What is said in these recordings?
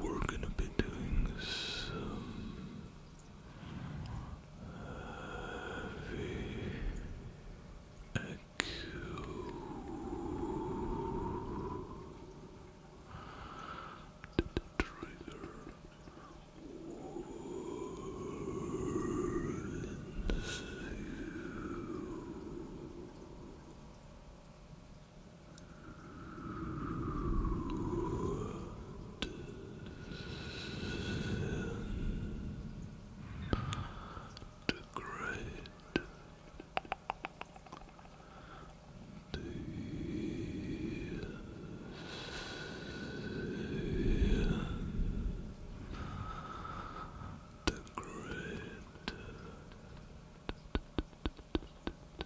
We're gonna be doing some heavy echo the trigger warns you. The great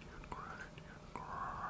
gratitude, gratitude, gratitude.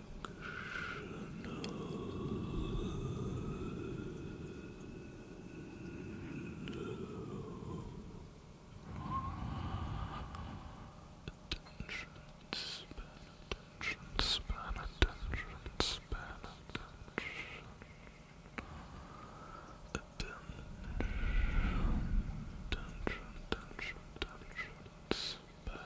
attention span, attention span, attention attention attention attention attention span.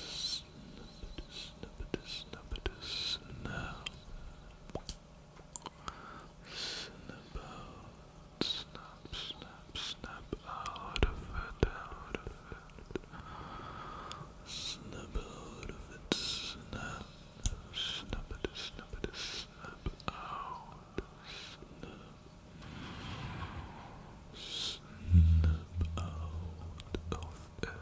snippet, snippet, snap. Snap, snap, snap, snap out of it, out of it. Snap out of it, snap, snap it, snap it, snap snip out, snip, out of it.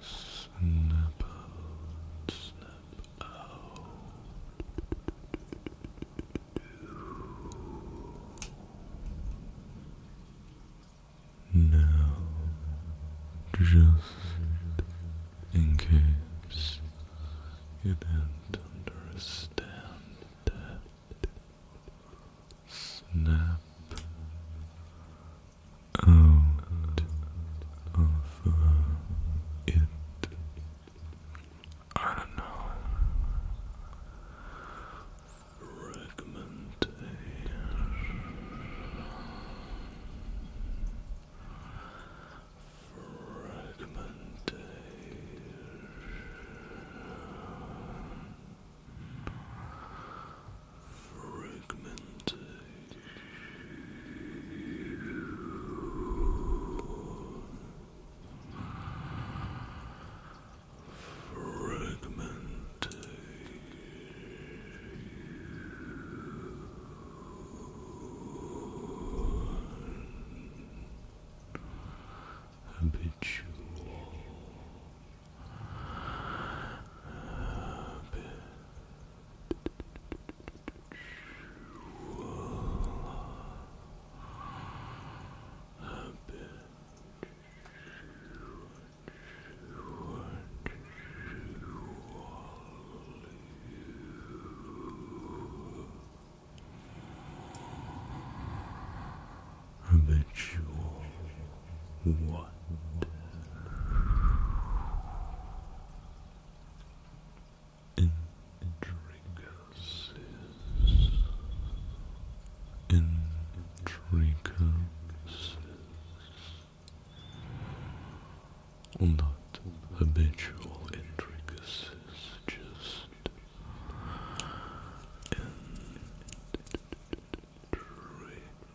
Snip out, snip out. Now, just in case you do not understand that. Snap out of uh, it. I don't know fragmentation. Fragmentation. Fragmentation habitual habitual habitual habitual what? Intricacies. Intricacies or not habitual intricacies, just intricacies. Intricacies.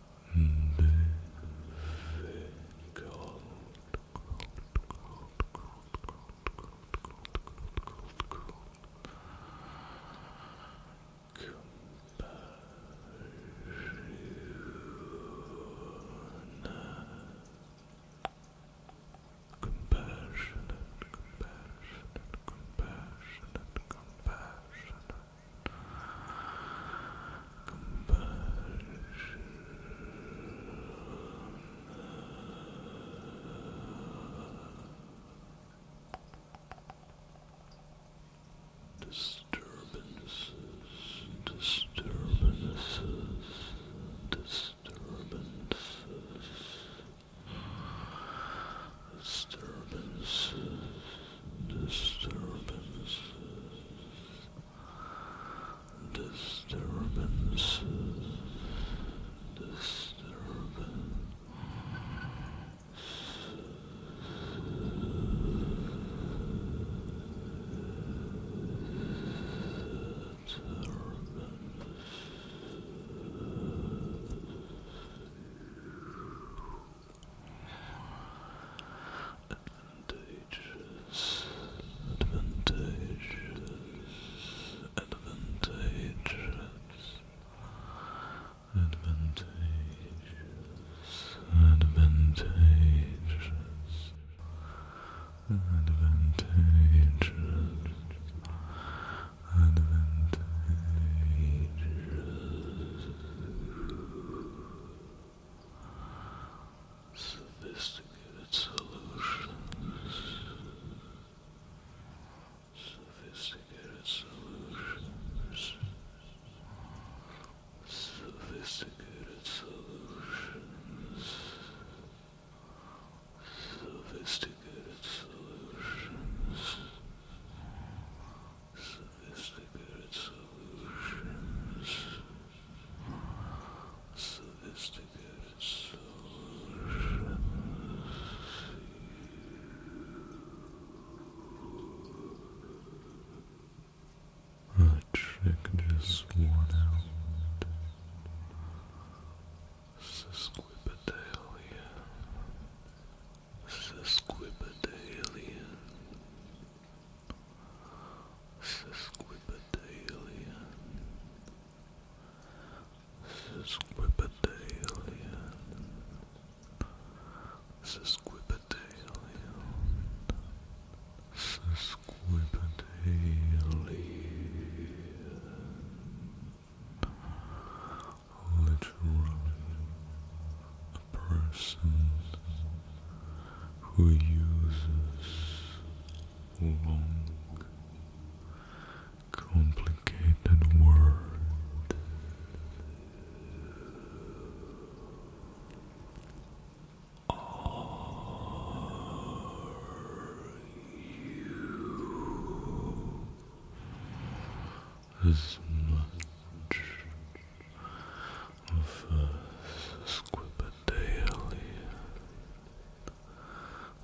compassionate, compassionate, compassionate. Compassion. Disturbances, disturbances, disturbances, disturbances, disturbances, Disturbances. Disturbance. Disturbance. Advantageous. advantages, advantages, advantages, advantages, advantages, advantages. Sophisticated solutions. Sophisticated solutions. Sophisticated solutions. Sophisticated solutions. Sophisticated solutions. Sophisticated solutions. A trick just worn out. Sesquipedalian. Sesquipedalian. This This This is is is Sesquipedalian. Sesquipedalian. Sesquipedalian. Sesquipedalian. Literally a person who uses long, complicated words. Are you as much of uh, Squibberdale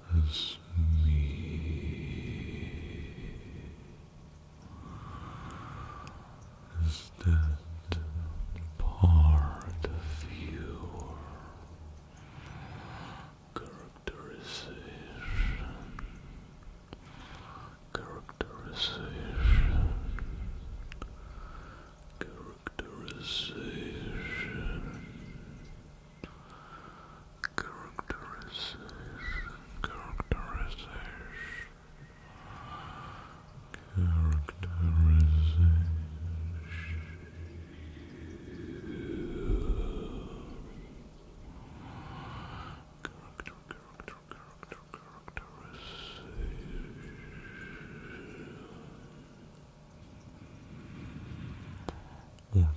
as me. Is that part of your characterization? Characterization. Characterization. Characterization. Characterization. Characterization. Character, or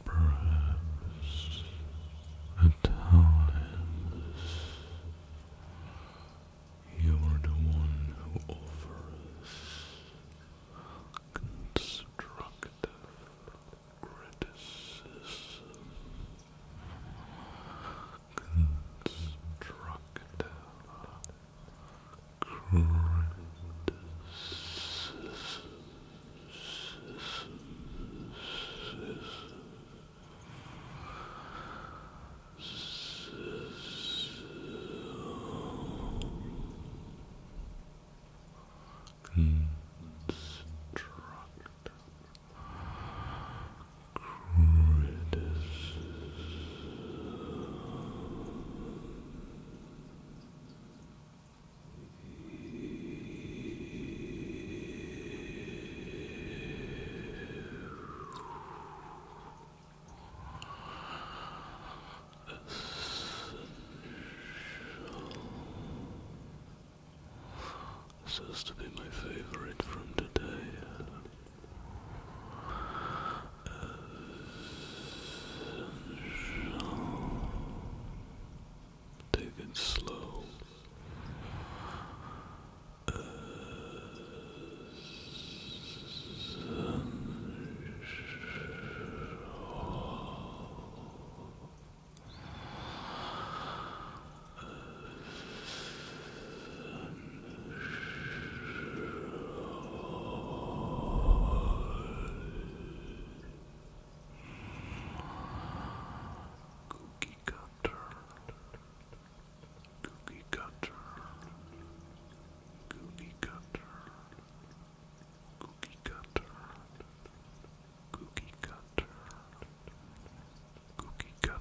perhaps at times you are the one who offers constructive criticism constructive Constructive this has to be my favorite from today. Essential. Take it slow. Cookie cutter, cookie cutter, cookie cutter, cookie cutter, cookie cutter, cookie cutter.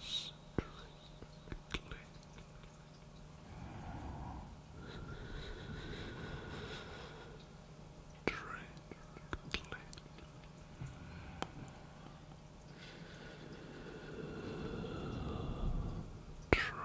Strictly. Strictly. Strictly. Strictly.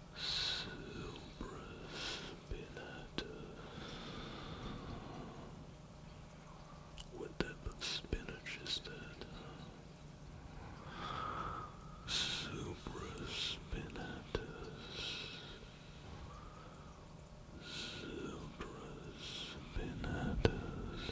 What type of spinach is that? Supraspinatus. Supraspinatus.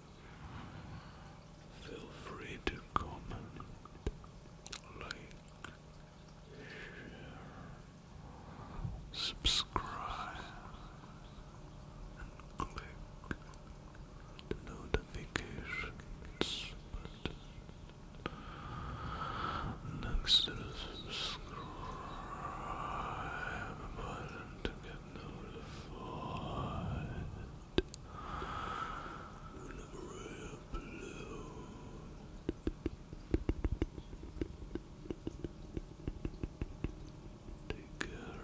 Feel free to comment, like, share, subscribe, and click the notifications next to the subscribe button to get notified whenever I Take care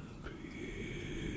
and peace.